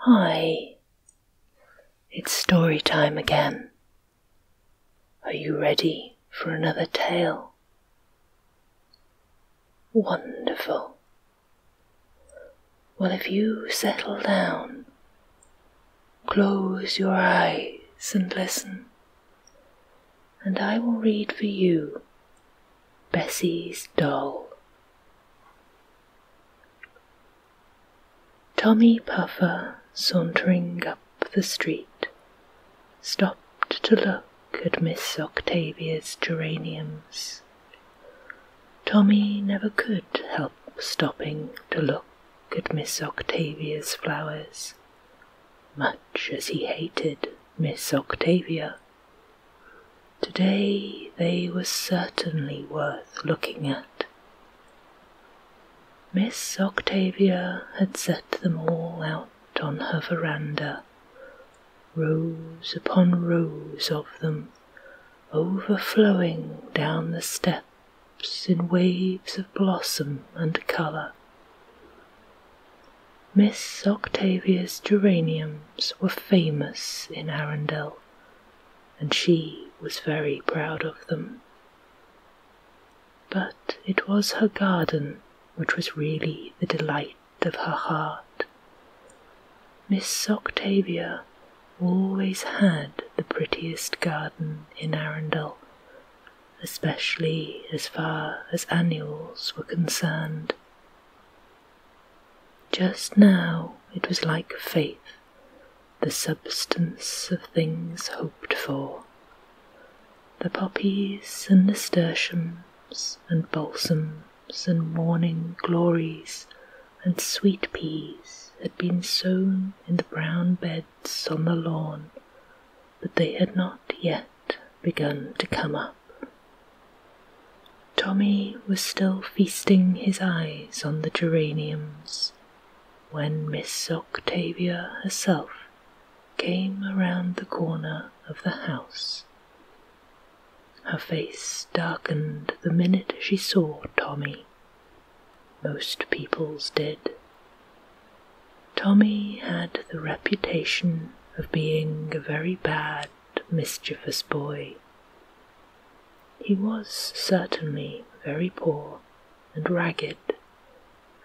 Hi, it's story time again. Are you ready for another tale? Wonderful. Well, if you settle down, close your eyes and listen, and I will read for you Bessie's Doll. Tommy Puffer, sauntering up the street, stopped to look at Miss Octavia's geraniums. Tommy never could help stopping to look at Miss Octavia's flowers, much as he hated Miss Octavia. Today they were certainly worth looking at. Miss Octavia had set them all out on her veranda, rows upon rows of them, overflowing down the steps in waves of blossom and colour. Miss Octavia's geraniums were famous in Arundel and she was very proud of them. But it was her garden which was really the delight of her heart. Miss Octavia always had the prettiest garden in Arundel, especially as far as annuals were concerned. Just now it was like faith, the substance of things hoped for. The poppies and nasturtiums and balsams and morning glories and sweet peas had been sown in the brown beds on the lawn, but they had not yet begun to come up. Tommy was still feasting his eyes on the geraniums when Miss Octavia herself came around the corner of the house. Her face darkened the minute she saw Tommy. Most people's did. Tommy had the reputation of being a very bad, mischievous boy he was certainly very poor and ragged,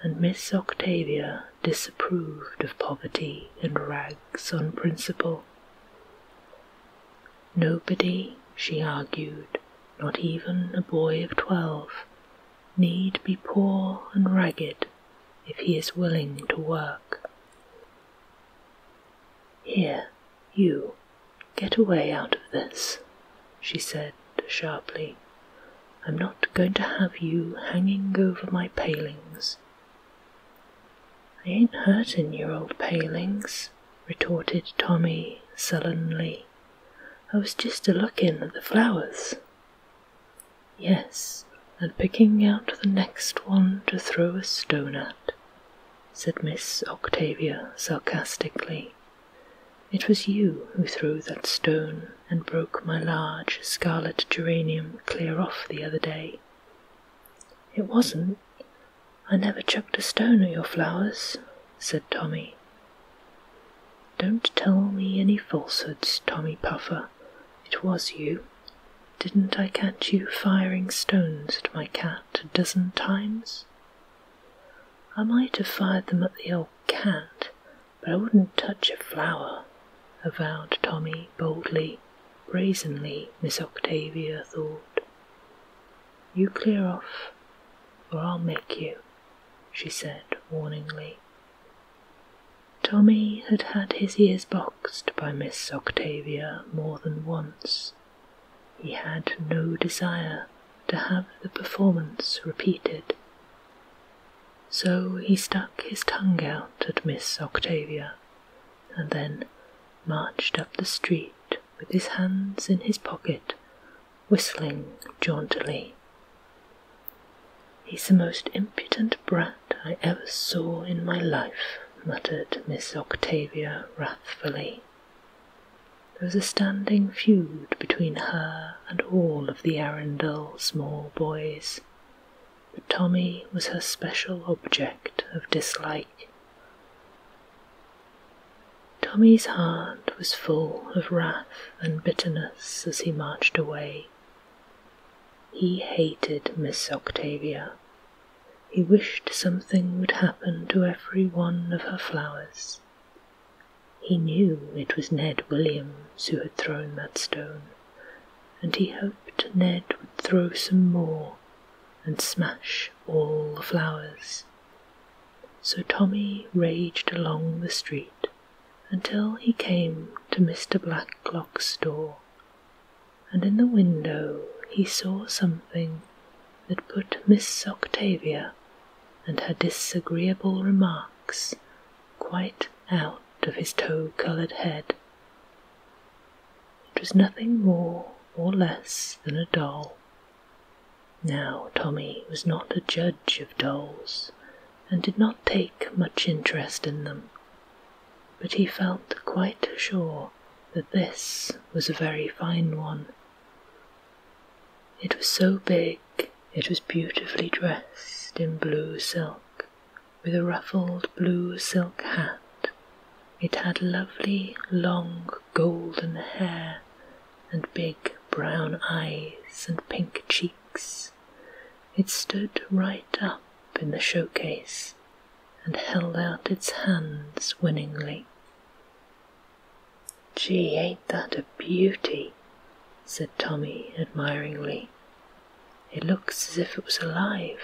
and Miss Octavia disapproved of poverty and rags on principle. Nobody, she argued, not even a boy of twelve, need be poor and ragged if he is willing to work. Here you get away out of this, she said sharply. I'm not going to have you hanging over my palings. I ain't hurtin' your old palings, retorted Tommy sullenly. I was just a lookin' at the flowers. Yes, and picking out the next one to throw a stone at said Miss Octavia sarcastically. It was you who threw that stone and broke my large scarlet geranium clear off the other day. It wasn't. I never chucked a stone at your flowers, said Tommy. Don't tell me any falsehoods, Tommy Puffer. It was you. Didn't I catch you firing stones at my cat a dozen times? I might have fired them at the old cat, but I wouldn't touch a flower, avowed Tommy boldly, brazenly, Miss Octavia thought. You clear off, or I'll make you, she said warningly. Tommy had had his ears boxed by Miss Octavia more than once he had no desire to have the performance repeated. So he stuck his tongue out at Miss Octavia, and then marched up the street with his hands in his pocket, whistling jauntily. He's the most impudent brat I ever saw in my life, muttered Miss Octavia there was a standing feud between her and all of the Arundel small boys, but Tommy was her special object of dislike. Tommy's heart was full of wrath and bitterness as he marched away. He hated Miss Octavia he wished something would happen to every one of her flowers. He knew it was Ned Williams who had thrown that stone, and he hoped Ned would throw some more and smash all the flowers. So Tommy raged along the street until he came to Mr. Blacklock's door and in the window he saw something that put Miss Octavia and her disagreeable remarks quite out of his tow coloured head. It was nothing more or less than a doll. Now, Tommy was not a judge of dolls, and did not take much interest in them but he felt quite sure that this was a very fine one. It was so big, it was beautifully dressed in blue silk, with a ruffled blue silk hat. It had lovely, long, golden hair, and big brown eyes, and pink cheeks. It stood right up in the showcase, and held out its hands winningly. Gee, ain't that a beauty? said Tommy admiringly. It looks as if it was alive,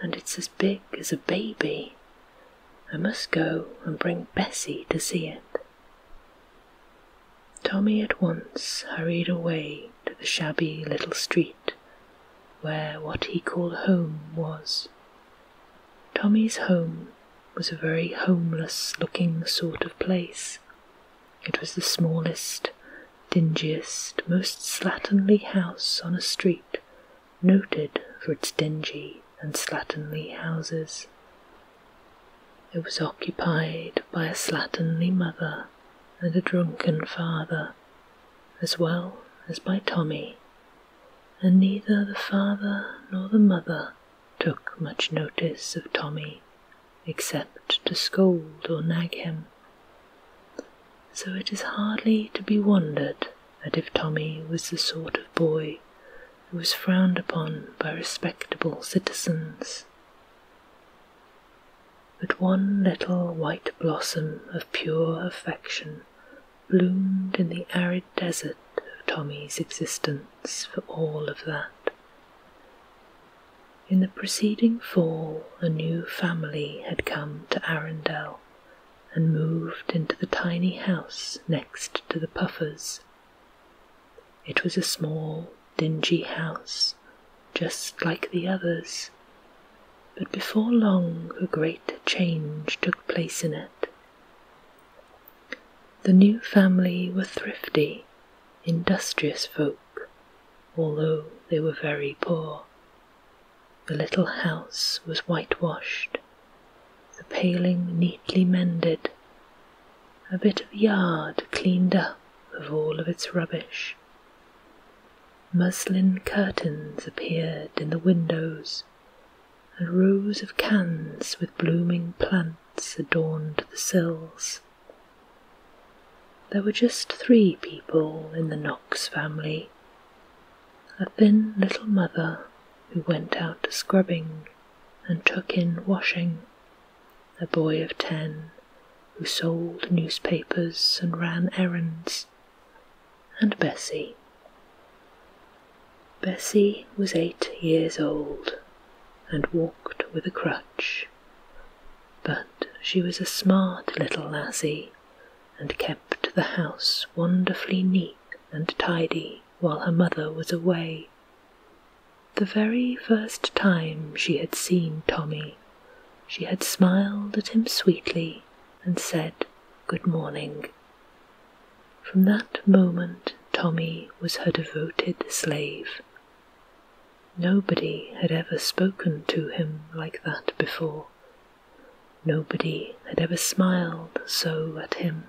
and it's as big as a baby. I must go and bring Bessie to see it. Tommy at once hurried away to the shabby little street where what he called home was. Tommy's home was a very homeless looking sort of place. It was the smallest, dingiest, most slatternly house on a street noted for its dingy and slatternly houses. It was occupied by a slatternly mother and a drunken father, as well as by Tommy and neither the father nor the mother took much notice of Tommy except to scold or nag him. So it is hardly to be wondered at if Tommy was the sort of boy who was frowned upon by respectable citizens. But one little white blossom of pure affection bloomed in the arid desert of Tommy's existence for all of that. In the preceding fall, a new family had come to Arundel and moved into the tiny house next to the Puffers. It was a small, dingy house, just like the others, but before long a great change took place in it. The new family were thrifty, industrious folk, although they were very poor. The little house was whitewashed, the paling neatly mended, a bit of yard cleaned up of all of its rubbish. Muslin curtains appeared in the windows, and rows of cans with blooming plants adorned the sills. There were just three people in the Knox family a thin little mother who went out scrubbing and took in washing, a boy of ten who sold newspapers and ran errands and Bessy. Bessy was eight years old and walked with a crutch, but she was a smart little lassie and kept the house wonderfully neat and tidy while her mother was away. The very first time she had seen Tommy, she had smiled at him sweetly and said, good morning. From that moment, Tommy was her devoted slave. Nobody had ever spoken to him like that before. Nobody had ever smiled so at him.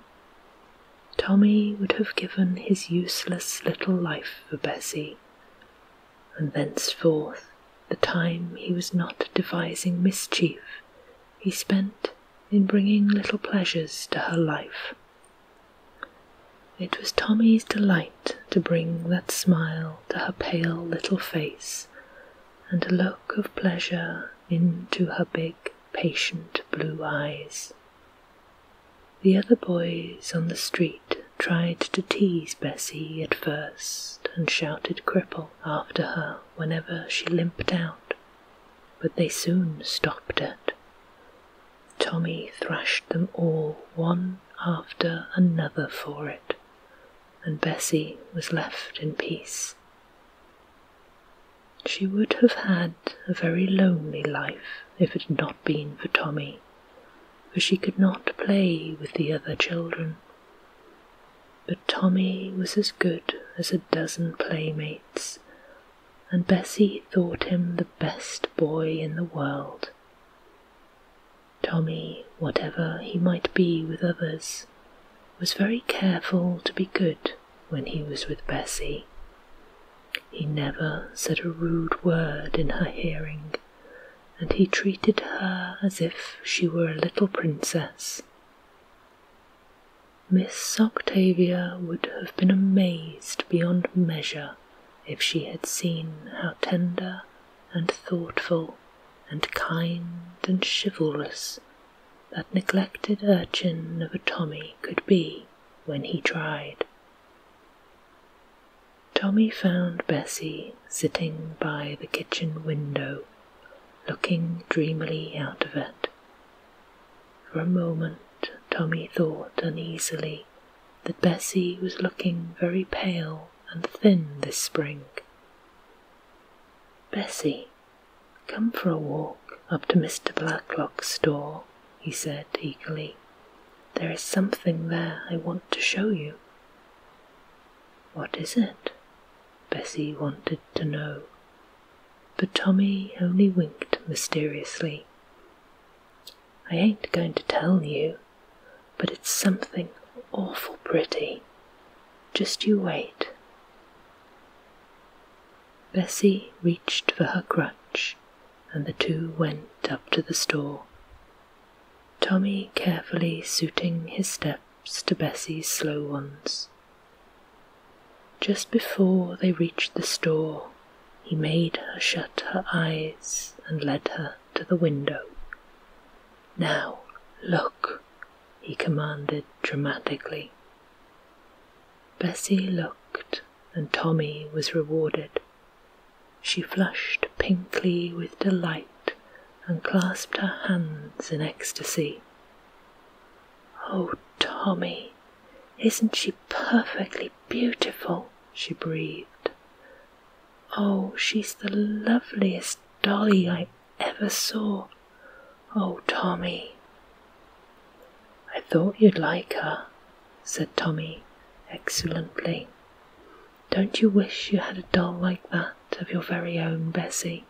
Tommy would have given his useless little life for Bessy. and thenceforth the time he was not devising mischief, he spent in bringing little pleasures to her life. It was Tommy's delight to bring that smile to her pale little face and a look of pleasure into her big, patient blue eyes. The other boys on the street tried to tease Bessie at first and shouted cripple after her whenever she limped out, but they soon stopped it. Tommy thrashed them all one after another for it, and Bessie was left in peace. She would have had a very lonely life if it had not been for Tommy, for she could not play with the other children but Tommy was as good as a dozen playmates, and Bessy thought him the best boy in the world. Tommy, whatever he might be with others, was very careful to be good when he was with Bessy. He never said a rude word in her hearing, and he treated her as if she were a little princess. Miss Octavia would have been amazed beyond measure if she had seen how tender and thoughtful and kind and chivalrous that neglected urchin of a Tommy could be when he tried. Tommy found Bessie sitting by the kitchen window looking dreamily out of it. For a moment, Tommy thought uneasily that Bessy was looking very pale and thin this spring. Bessy, come for a walk up to Mr. Blacklock's store, he said eagerly. There is something there I want to show you. What is it? Bessie wanted to know, but Tommy only winked mysteriously. I ain't going to tell you, but it's something awful pretty. Just you wait. Bessie reached for her crutch, and the two went up to the store. Tommy carefully suiting his step to Bessie's slow ones. Just before they reached the store, he made her shut her eyes and led her to the window. Now, look, he commanded dramatically. Bessie looked, and Tommy was rewarded. She flushed pinkly with delight and clasped her hands in ecstasy. Oh, Tommy, isn't she perfectly beautiful? she breathed. Oh, she's the loveliest dolly I ever saw. Oh, Tommy. I thought you'd like her, said Tommy, excellently. Don't you wish you had a doll like that of your very own Bessy?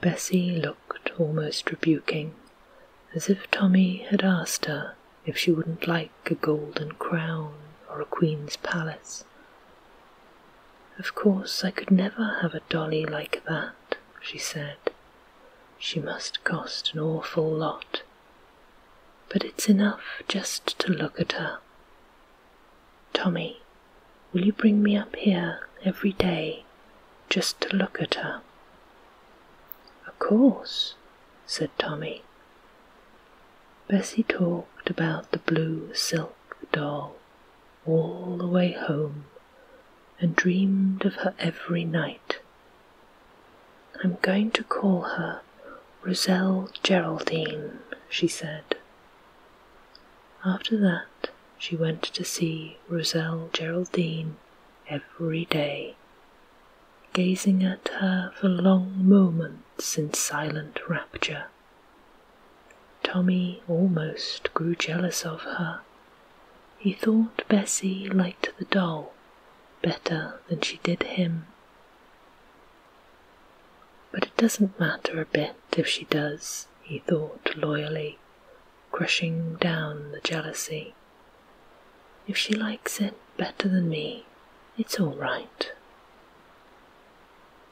Bessy looked almost rebuking, as if Tommy had asked her if she wouldn't like a golden crown or a queen's palace. Of course, I could never have a dolly like that, she said. She must cost an awful lot. But it's enough just to look at her. Tommy, Will you bring me up here every day just to look at her? Of course, said Tommy. Bessie talked about the blue silk doll all the way home and dreamed of her every night. I'm going to call her Roselle Geraldine, she said. After that, she went to see Roselle Geraldine every day, gazing at her for long moments in silent rapture. Tommy almost grew jealous of her. He thought Bessie liked the doll better than she did him. But it doesn't matter a bit if she does, he thought loyally, crushing down the jealousy. If she likes it better than me, it's all right.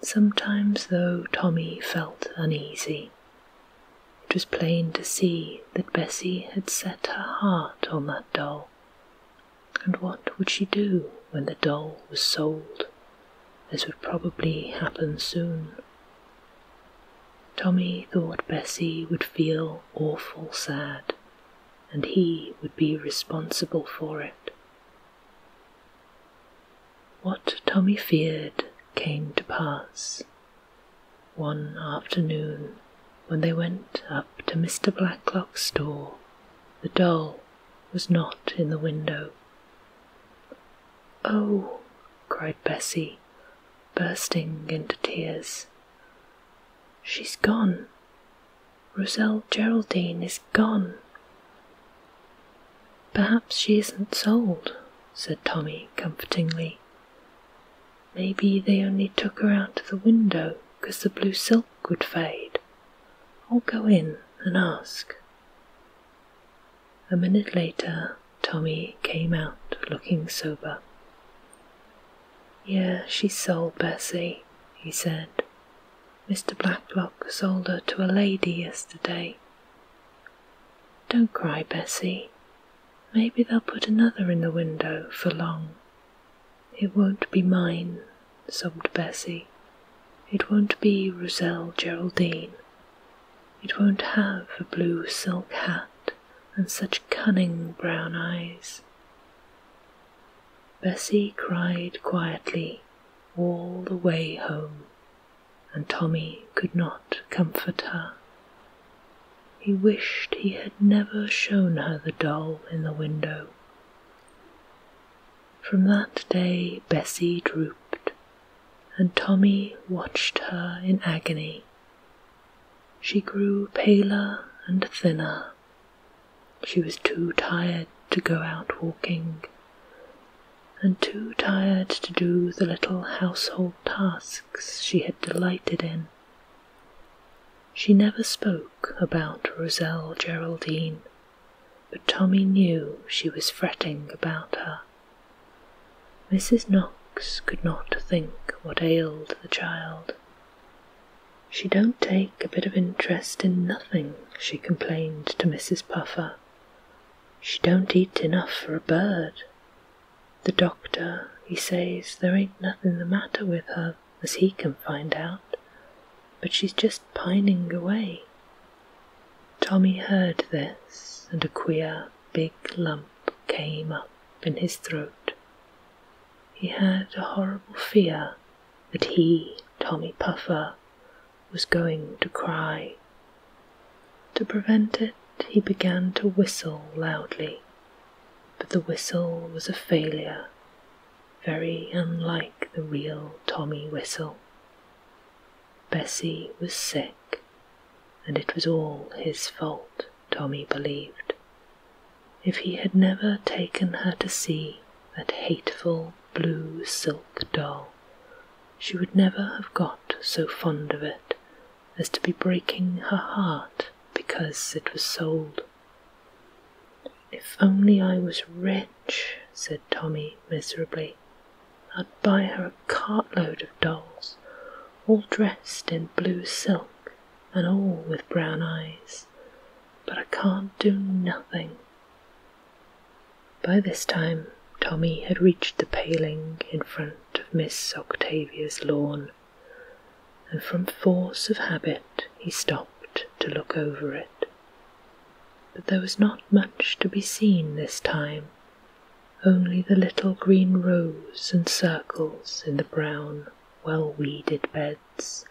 Sometimes, though, Tommy felt uneasy. It was plain to see that Bessy had set her heart on that doll. And what would she do when the doll was sold this would probably happen soon. Tommy thought Bessie would feel awful sad, and he would be responsible for it. What Tommy feared came to pass. One afternoon, when they went up to Mr. Blacklock's store, the doll was not in the window. Oh, cried Bessie, bursting into tears. She's gone. Roselle Geraldine is gone. Perhaps she isn't sold, said Tommy comfortingly. Maybe they only took her out of the window because the blue silk would fade. I'll go in and ask. A minute later, Tommy came out looking sober. Yeah, she sold Bessie, he said. Mr. Blacklock sold her to a lady yesterday. Don't cry, Bessie. Maybe they'll put another in the window for long. It won't be mine sobbed Bessy, It won't be Roselle Geraldine. It won't have a blue silk hat and such cunning brown eyes. Bessy cried quietly all the way home, and Tommy could not comfort her. He wished he had never shown her the doll in the window. From that day Bessie drooped, and Tommy watched her in agony. She grew paler and thinner. She was too tired to go out walking, and too tired to do the little household tasks she had delighted in. She never spoke about Roselle Geraldine but Tommy knew she was fretting about her. Mrs. Knox could not think what ailed the child. She don't take a bit of interest in nothing, she complained to Mrs. Puffer. She don't eat enough for a bird. The doctor, he says there ain't nothing the matter with her, as he can find out, but she's just pining away. Tommy heard this, and a queer big lump came up in his throat. He had a horrible fear that he, Tommy Puffer, was going to cry. To prevent it, he began to whistle loudly, but the whistle was a failure very unlike the real Tommy Whistle. Bessy was sick, and it was all his fault, Tommy believed. If he had never taken her to see that hateful blue silk doll, she would never have got so fond of it as to be breaking her heart because it was sold. If only I was rich, said Tommy miserably, I'd buy her a cartload of dolls, all dressed in blue silk, and all with brown eyes. But I can't do nothing. By this time, Tommy had reached the paling in front of Miss Octavia's lawn, and from force of habit he stopped to look over it but there was not much to be seen this time, only the little green rows and circles in the brown, well weeded beds,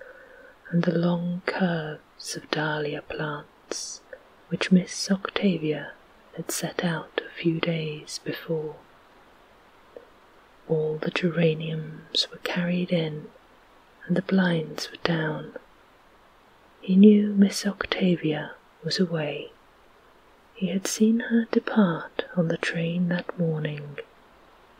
and the long curves of dahlia plants which Miss Octavia had set out a few days before. All the geraniums were carried in, and the blinds were down he knew Miss Octavia was away. He had seen her depart on the train that morning,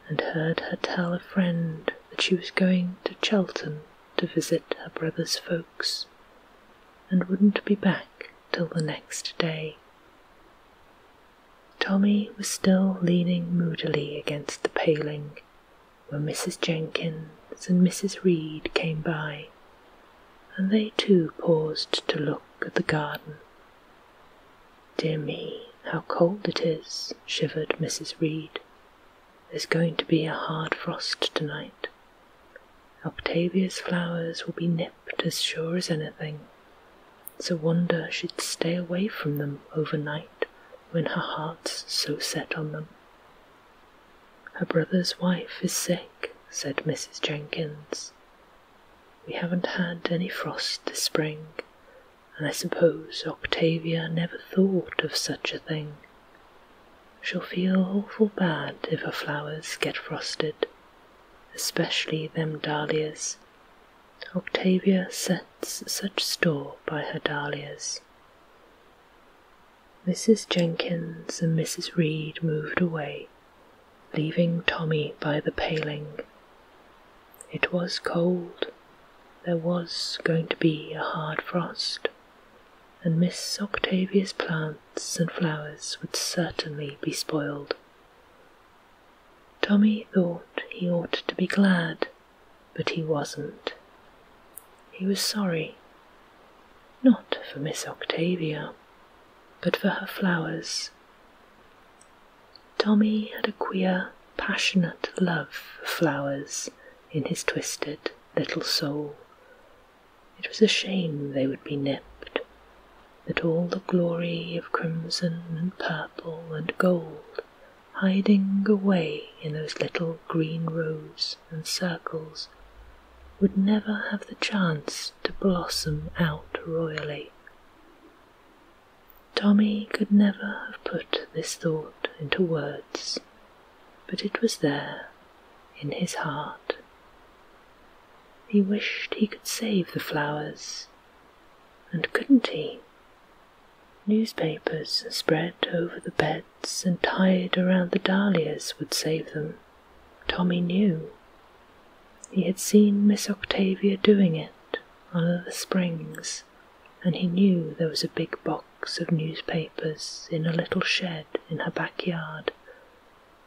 and heard her tell a friend that she was going to Chelten to visit her brother's folks, and wouldn't be back till the next day. Tommy was still leaning moodily against the paling when Mrs. Jenkins and Mrs. Reed came by, and they too paused to look at the garden. Dear me, how cold it is, shivered Mrs. Reed. There's going to be a hard frost tonight. Octavia's flowers will be nipped as sure as anything. It's a wonder she'd stay away from them overnight when her heart's so set on them. Her brother's wife is sick, said Mrs. Jenkins. We haven't had any frost this spring, and I suppose Octavia never thought of such a thing. She'll feel awful bad if her flowers get frosted, especially them dahlias. Octavia sets such store by her dahlias. Mrs. Jenkins and Mrs. Reed moved away, leaving Tommy by the paling. It was cold, there was going to be a hard frost, and Miss Octavia's plants and flowers would certainly be spoiled. Tommy thought he ought to be glad but he wasn't. He was sorry. Not for Miss Octavia, but for her flowers. Tommy had a queer, passionate love for flowers in his twisted little soul. It was a shame they would be nipped, that all the glory of crimson and purple and gold hiding away in those little green rows and circles, would never have the chance to blossom out royally. Tommy could never have put this thought into words, but it was there in his heart. He wished he could save the flowers, and couldn't he? Newspapers spread over the beds and tied around the dahlias would save them. Tommy knew. He had seen Miss Octavia doing it on the springs, and he knew there was a big box of newspapers in a little shed in her backyard.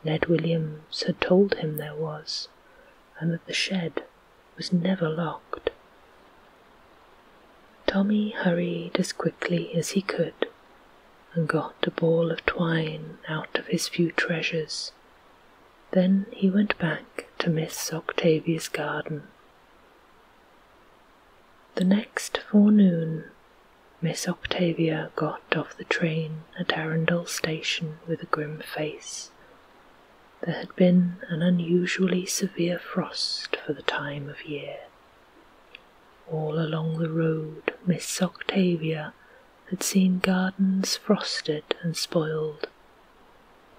Ned Williams had told him there was, and that the shed was never locked. Tommy hurried as quickly as he could and got the ball of twine out of his few treasures. Then he went back to Miss Octavia's garden. The next forenoon, Miss Octavia got off the train at Arundel Station with a grim face. There had been an unusually severe frost for the time of year. All along the road, Miss Octavia had seen gardens frosted and spoiled.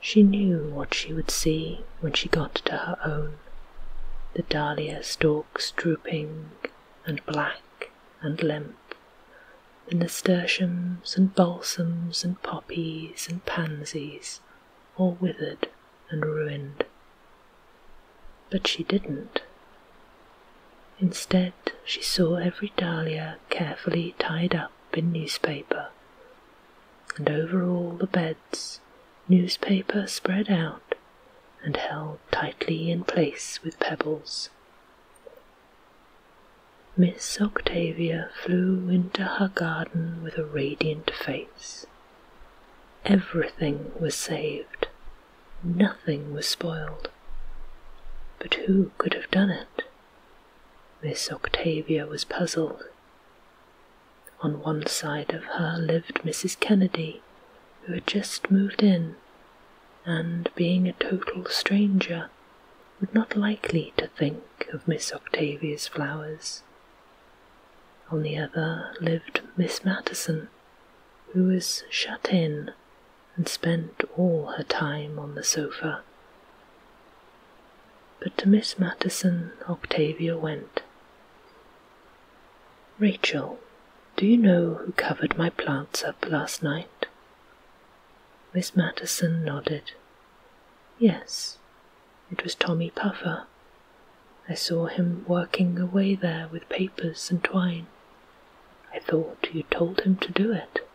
She knew what she would see when she got to her own the dahlia stalks drooping and black and limp, the nasturtiums and balsams and poppies and pansies all withered and ruined. But she didn't. Instead, she saw every dahlia carefully tied up in newspaper, and over all the beds, newspaper spread out and held tightly in place with pebbles. Miss Octavia flew into her garden with a radiant face. Everything was saved, nothing was spoiled. But who could have done it? Miss Octavia was puzzled. On one side of her lived Mrs. Kennedy, who had just moved in, and being a total stranger, would not likely to think of Miss Octavia's flowers. On the other lived Miss Mattison, who was shut in and spent all her time on the sofa. But to Miss Mattison, Octavia went. Rachel, do you know who covered my plants up last night? Miss Mattison nodded. Yes, it was Tommy Puffer. I saw him working away there with papers and twine. I thought you told him to do it.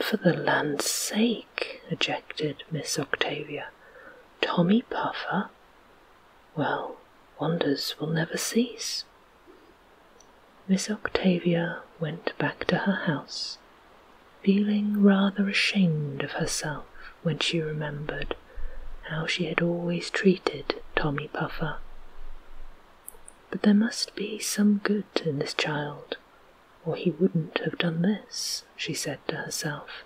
For the land's sake, ejected Miss Octavia. Tommy Puffer? Well, wonders will never cease. Miss Octavia went back to her house feeling rather ashamed of herself when she remembered how she had always treated Tommy Puffer. But there must be some good in this child, or he wouldn't have done this, she said to herself.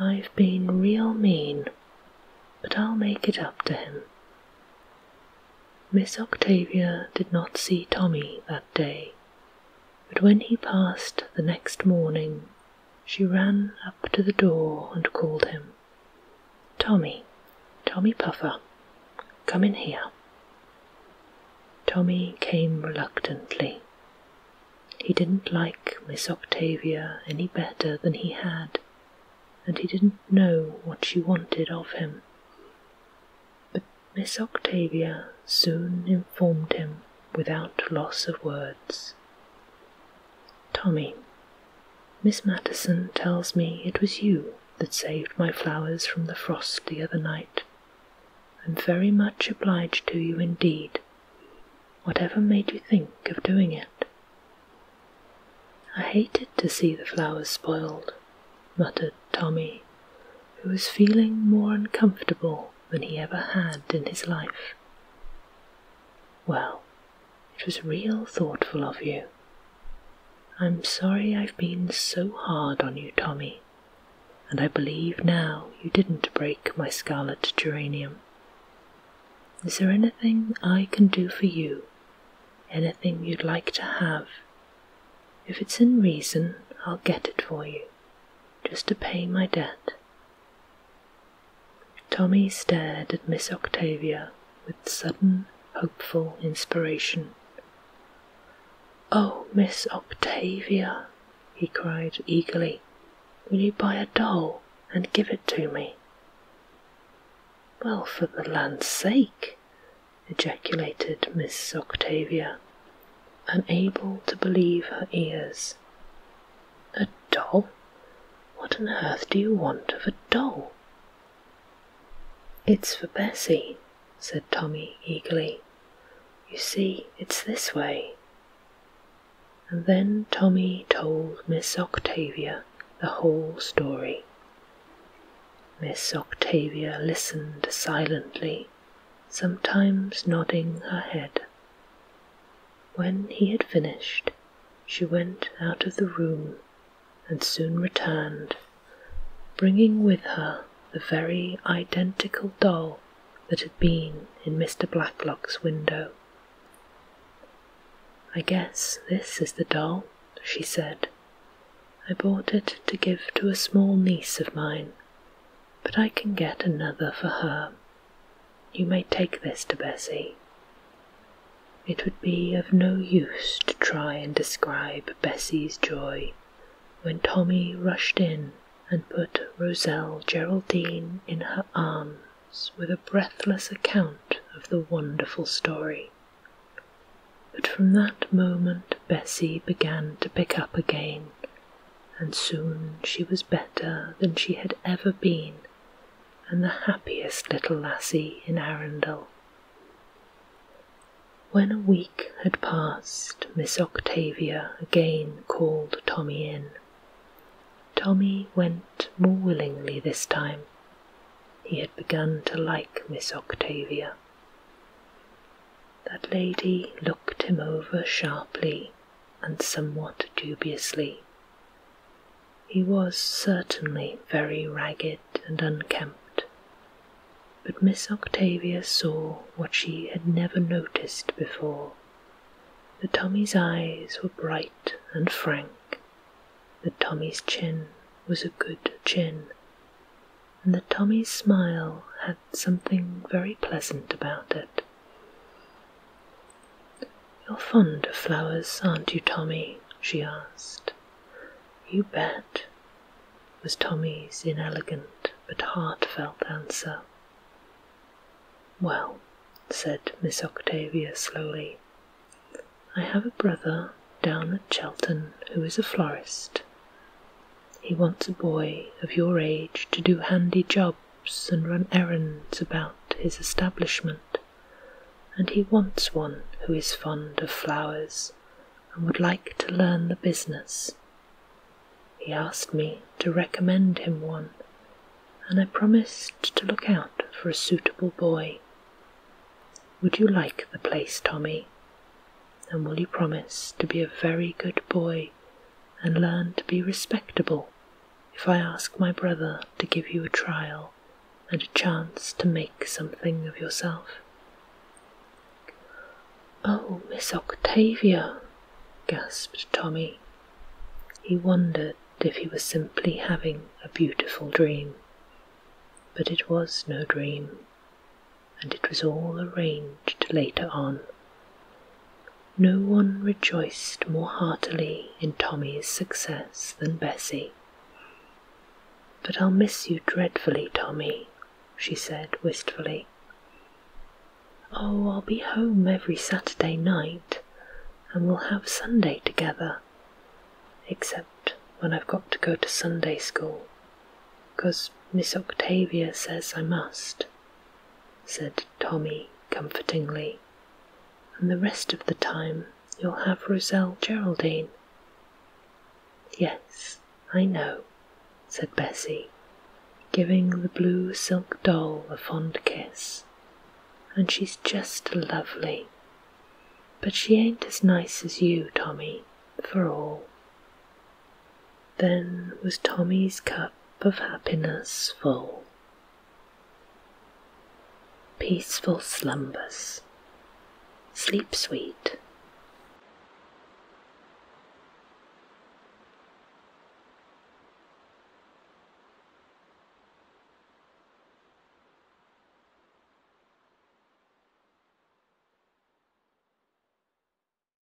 I've been real mean, but I'll make it up to him. Miss Octavia did not see Tommy that day. But when he passed the next morning, she ran up to the door and called him. Tommy, Tommy Puffer, come in here. Tommy came reluctantly. He didn't like Miss Octavia any better than he had, and he didn't know what she wanted of him. But Miss Octavia soon informed him without loss of words. Tommy, Miss Matterson tells me it was you that saved my flowers from the frost the other night. I'm very much obliged to you indeed. Whatever made you think of doing it? I hated to see the flowers spoiled, muttered Tommy, who was feeling more uncomfortable than he ever had in his life. Well, it was real thoughtful of you. I'm sorry I've been so hard on you, Tommy, and I believe now you didn't break my scarlet geranium. Is there anything I can do for you? Anything you'd like to have? If it's in reason, I'll get it for you, just to pay my debt. Tommy stared at Miss Octavia with sudden, hopeful inspiration. Oh, Miss Octavia, he cried eagerly, will you buy a doll and give it to me? Well, for the land's sake, ejaculated Miss Octavia, unable to believe her ears. A doll? What on earth do you want of a doll? It's for Bessie, said Tommy eagerly. You see, it's this way. And then Tommy told Miss Octavia the whole story. Miss Octavia listened silently, sometimes nodding her head. When he had finished, she went out of the room and soon returned, bringing with her the very identical doll that had been in Mr. Blacklock's window. I guess this is the doll, she said. I bought it to give to a small niece of mine but I can get another for her. You may take this to Bessy. It would be of no use to try and describe Bessy's joy when Tommy rushed in and put Roselle Geraldine in her arms with a breathless account of the wonderful story. But from that moment Bessy began to pick up again and soon she was better than she had ever been, and the happiest little lassie in Arundel. When a week had passed, Miss Octavia again called Tommy in. Tommy went more willingly this time. He had begun to like Miss Octavia. That lady looked him over sharply and somewhat dubiously. He was certainly very ragged and unkempt, but Miss Octavia saw what she had never noticed before, that Tommy's eyes were bright and frank, that Tommy's chin was a good chin, and that Tommy's smile had something very pleasant about it. You're fond of flowers, aren't you, Tommy? she asked. You bet, was Tommy's inelegant but heartfelt answer. Well, said Miss Octavia slowly, I have a brother down at Chelten who is a florist. He wants a boy of your age to do handy jobs and run errands about his establishment, and he wants one who is fond of flowers and would like to learn the business. He asked me to recommend him one, and I promised to look out for a suitable boy. Would you like the place, Tommy? and will you promise to be a very good boy and learn to be respectable if I ask my brother to give you a trial and a chance to make something of yourself? Oh, Miss Octavia, gasped Tommy. He wondered if he was simply having a beautiful dream. But it was no dream and it was all arranged later on. No one rejoiced more heartily in Tommy's success than Bessy. But I'll miss you dreadfully, Tommy, she said wistfully. Oh, I'll be home every Saturday night, and we'll have Sunday together, except when I've got to go to Sunday school, 'cause Miss Octavia says I must said Tommy comfortingly, and the rest of the time you'll have Roselle Geraldine. Yes, I know, said Bessie, giving the blue silk doll a fond kiss, and she's just lovely. But she ain't as nice as you, Tommy, for all. Then was Tommy's cup of happiness full. Peaceful slumbers. Sleep sweet.